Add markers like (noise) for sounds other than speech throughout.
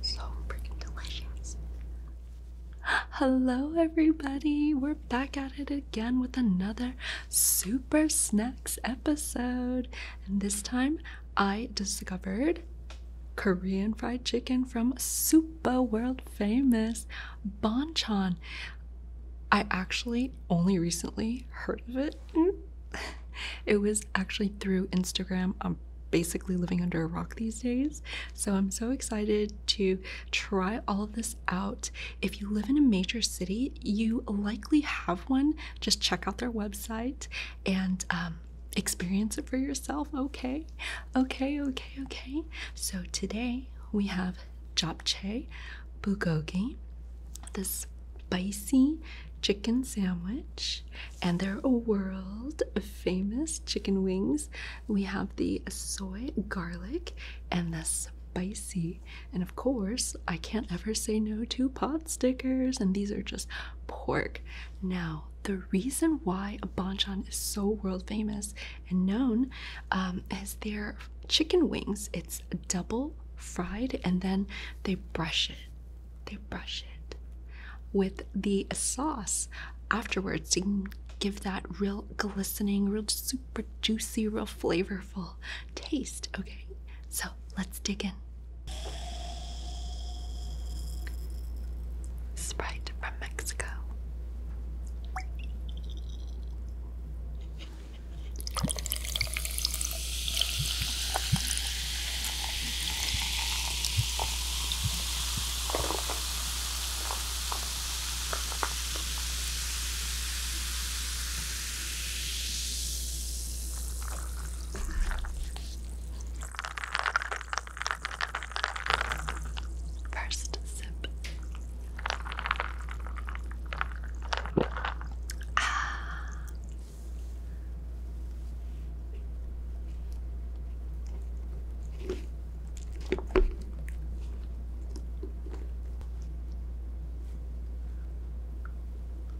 So freaking delicious. Hello, everybody. We're back at it again with another super snacks episode. And this time I discovered Korean fried chicken from super world famous Bonchon. I actually only recently heard of it. (laughs) It was actually through Instagram. I'm basically living under a rock these days. So I'm so excited to try all of this out. If you live in a major city, you likely have one just check out their website and um, experience it for yourself. Okay, okay, okay, okay. So today we have japchae bulgogi, this spicy chicken sandwich, and their world famous chicken wings. We have the soy garlic and the spicy and of course, I can't ever say no to pot stickers, and these are just pork. Now, the reason why a banchan is so world famous and known um, is their chicken wings. It's double fried, and then they brush it. They brush it with the sauce afterwards to give that real glistening, real super juicy, real flavor taste, okay? So let's dig in. Sprite from Mexico. First sip. Ah.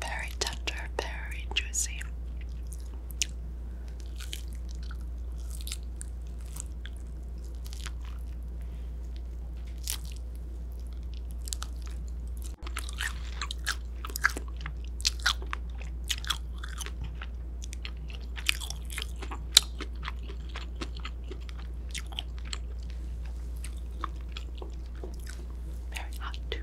Very tender, very juicy. Very hot, too.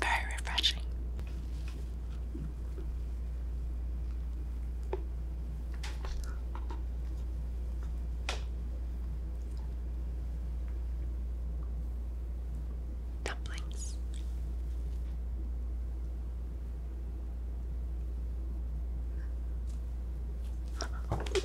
Very refreshing. Dumplings. Freaking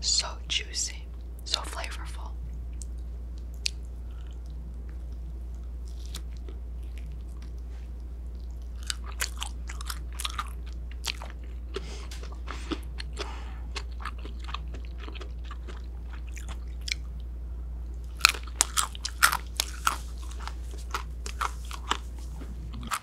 So juicy, so flavorful.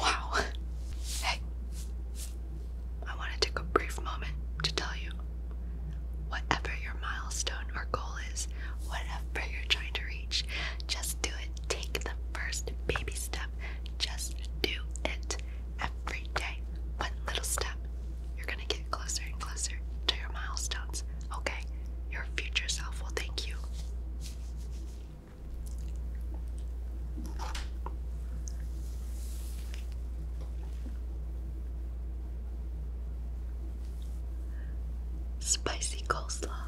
Wow. Hey, I want to take a brief moment to tell you whatever your milestone or goal is, whatever you're trying to reach, just do it. Take the first baby step. Just do it every day. One little step, you're gonna get closer and closer to your milestones, okay? Your future self will thank you. Spicy coleslaw.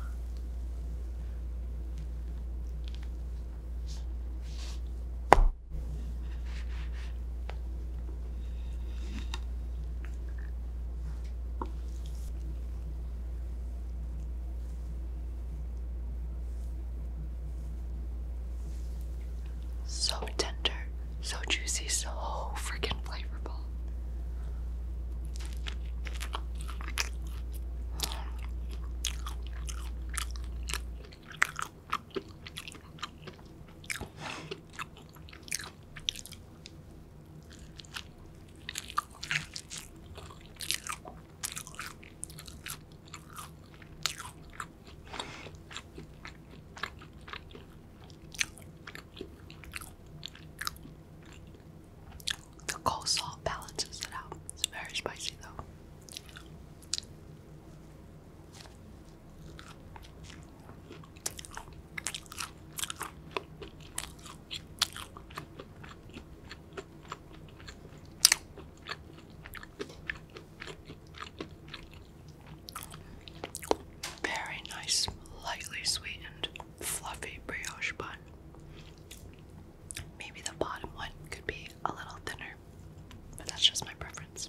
So tender, so juicy, so freaking flavorful. The coleslaw balances it out. It's very spicy though. Very nice, lightly sweetened, fluffy brioche bun. Maybe the bottom one could be a little thinner, but that's just my preference.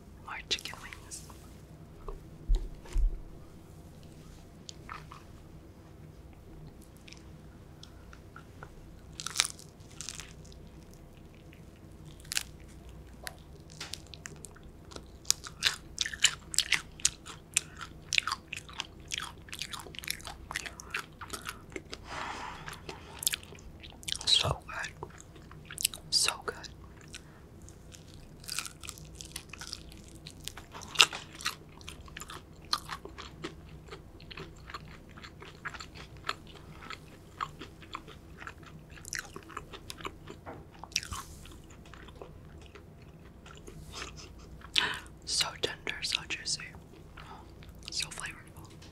more chicken wings. So good. So good. So tender, so juicy, so flavorful.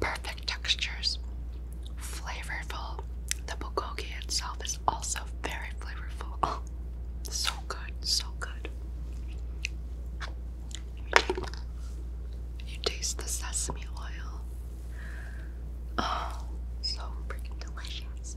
Perfect textures, flavorful. The bulgogi itself is also very flavorful. (laughs) Oh, so good, so good. You taste the sesame oil. Oh, so freaking delicious.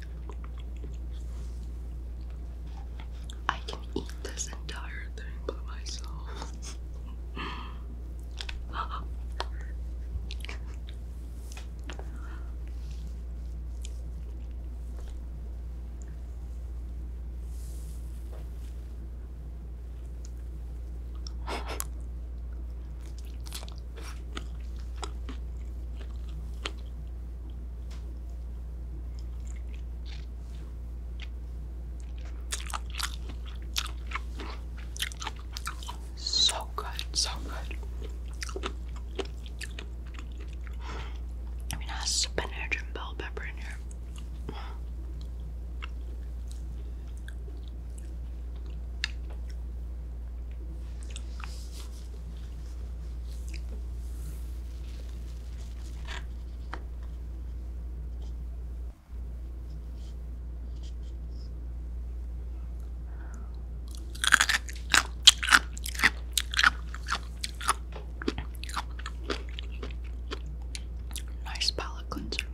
I can eat this entire thing by myself. So good, so good. I mean, has spinach and bell pepper in here. Nice palate cleanser.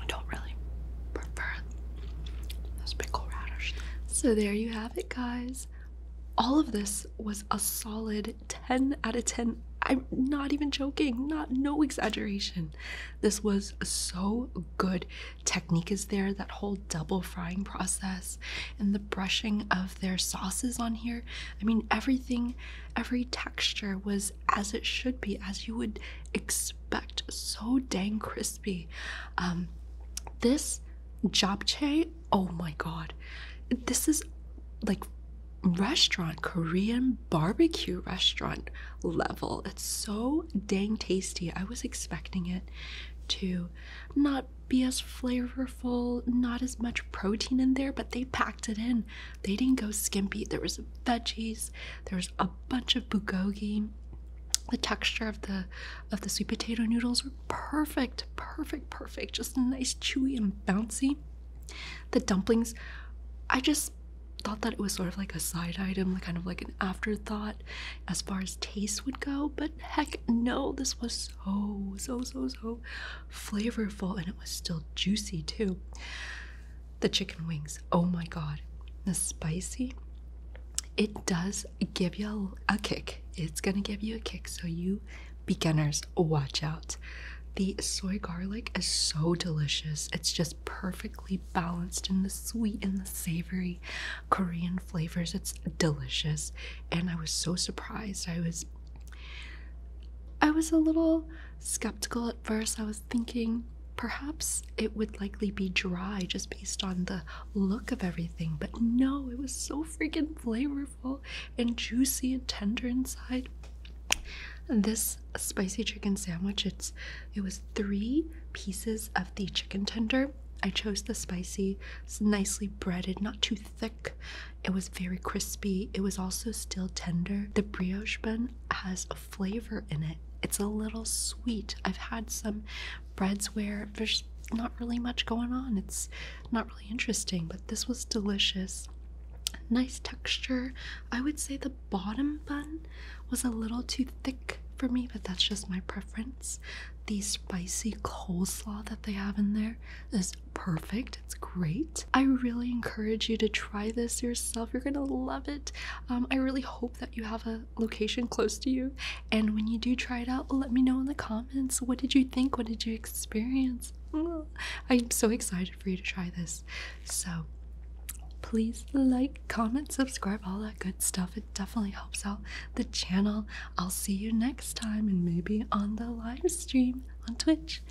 I don't really prefer the sprinkle radish. So there you have it, guys. All of this was a solid 10 out of 10. I'm not even joking, not no exaggeration. This was so good. Technique is there, that whole double frying process and the brushing of their sauces on here. I mean, everything, every texture was as it should be, as you would expect so dang crispy. Um, this japchae, oh my god, this is like restaurant Korean barbecue restaurant level. It's so dang tasty. I was expecting it to not be as flavorful, not as much protein in there, but they packed it in. They didn't go skimpy. There was veggies, there's a bunch of bulgogi. The texture of the of the sweet potato noodles were perfect, perfect, perfect. Just nice, chewy, and bouncy. The dumplings, I just thought that it was sort of like a side item, like kind of like an afterthought as far as taste would go. But heck no, this was so, so, so, so flavorful and it was still juicy too the chicken wings. Oh my god. The spicy, it does give you a, kick. It's gonna give you a kick. So, you beginners, watch out. The soy garlic is so delicious. It's just perfectly balanced in the sweet and the savory Korean flavors. It's delicious. And I was so surprised. I was I was a little skeptical at first. I was thinking perhaps it would likely be dry just based on the look of everything, but no, it was so freaking flavorful and juicy and tender inside. This spicy chicken sandwich, it's it was three pieces of the chicken tender. I chose the spicy, it's nicely breaded, not too thick. It was very crispy. It was also still tender. The brioche bun has flavor in it. It's a little sweet. I've had some breads where there's not really much going on. It's not really interesting, but this was delicious. Nice texture. I would say the bottom bun was a little too thick for me, but that's just my preference. The spicy coleslaw that they have in there is perfect. It's great. I really encourage you to try this yourself. You're going to love it. Um, I really hope that you have a location close to you. And when you do try it out, let me know in the comments what did you think? What did you experience? Mm, I'm so excited for you to try this. So please like, comment, subscribe, all that good stuff. It definitely helps out the channel. I'll see you next time and maybe on the live stream on Twitch.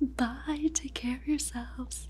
Bye. Take care of yourselves.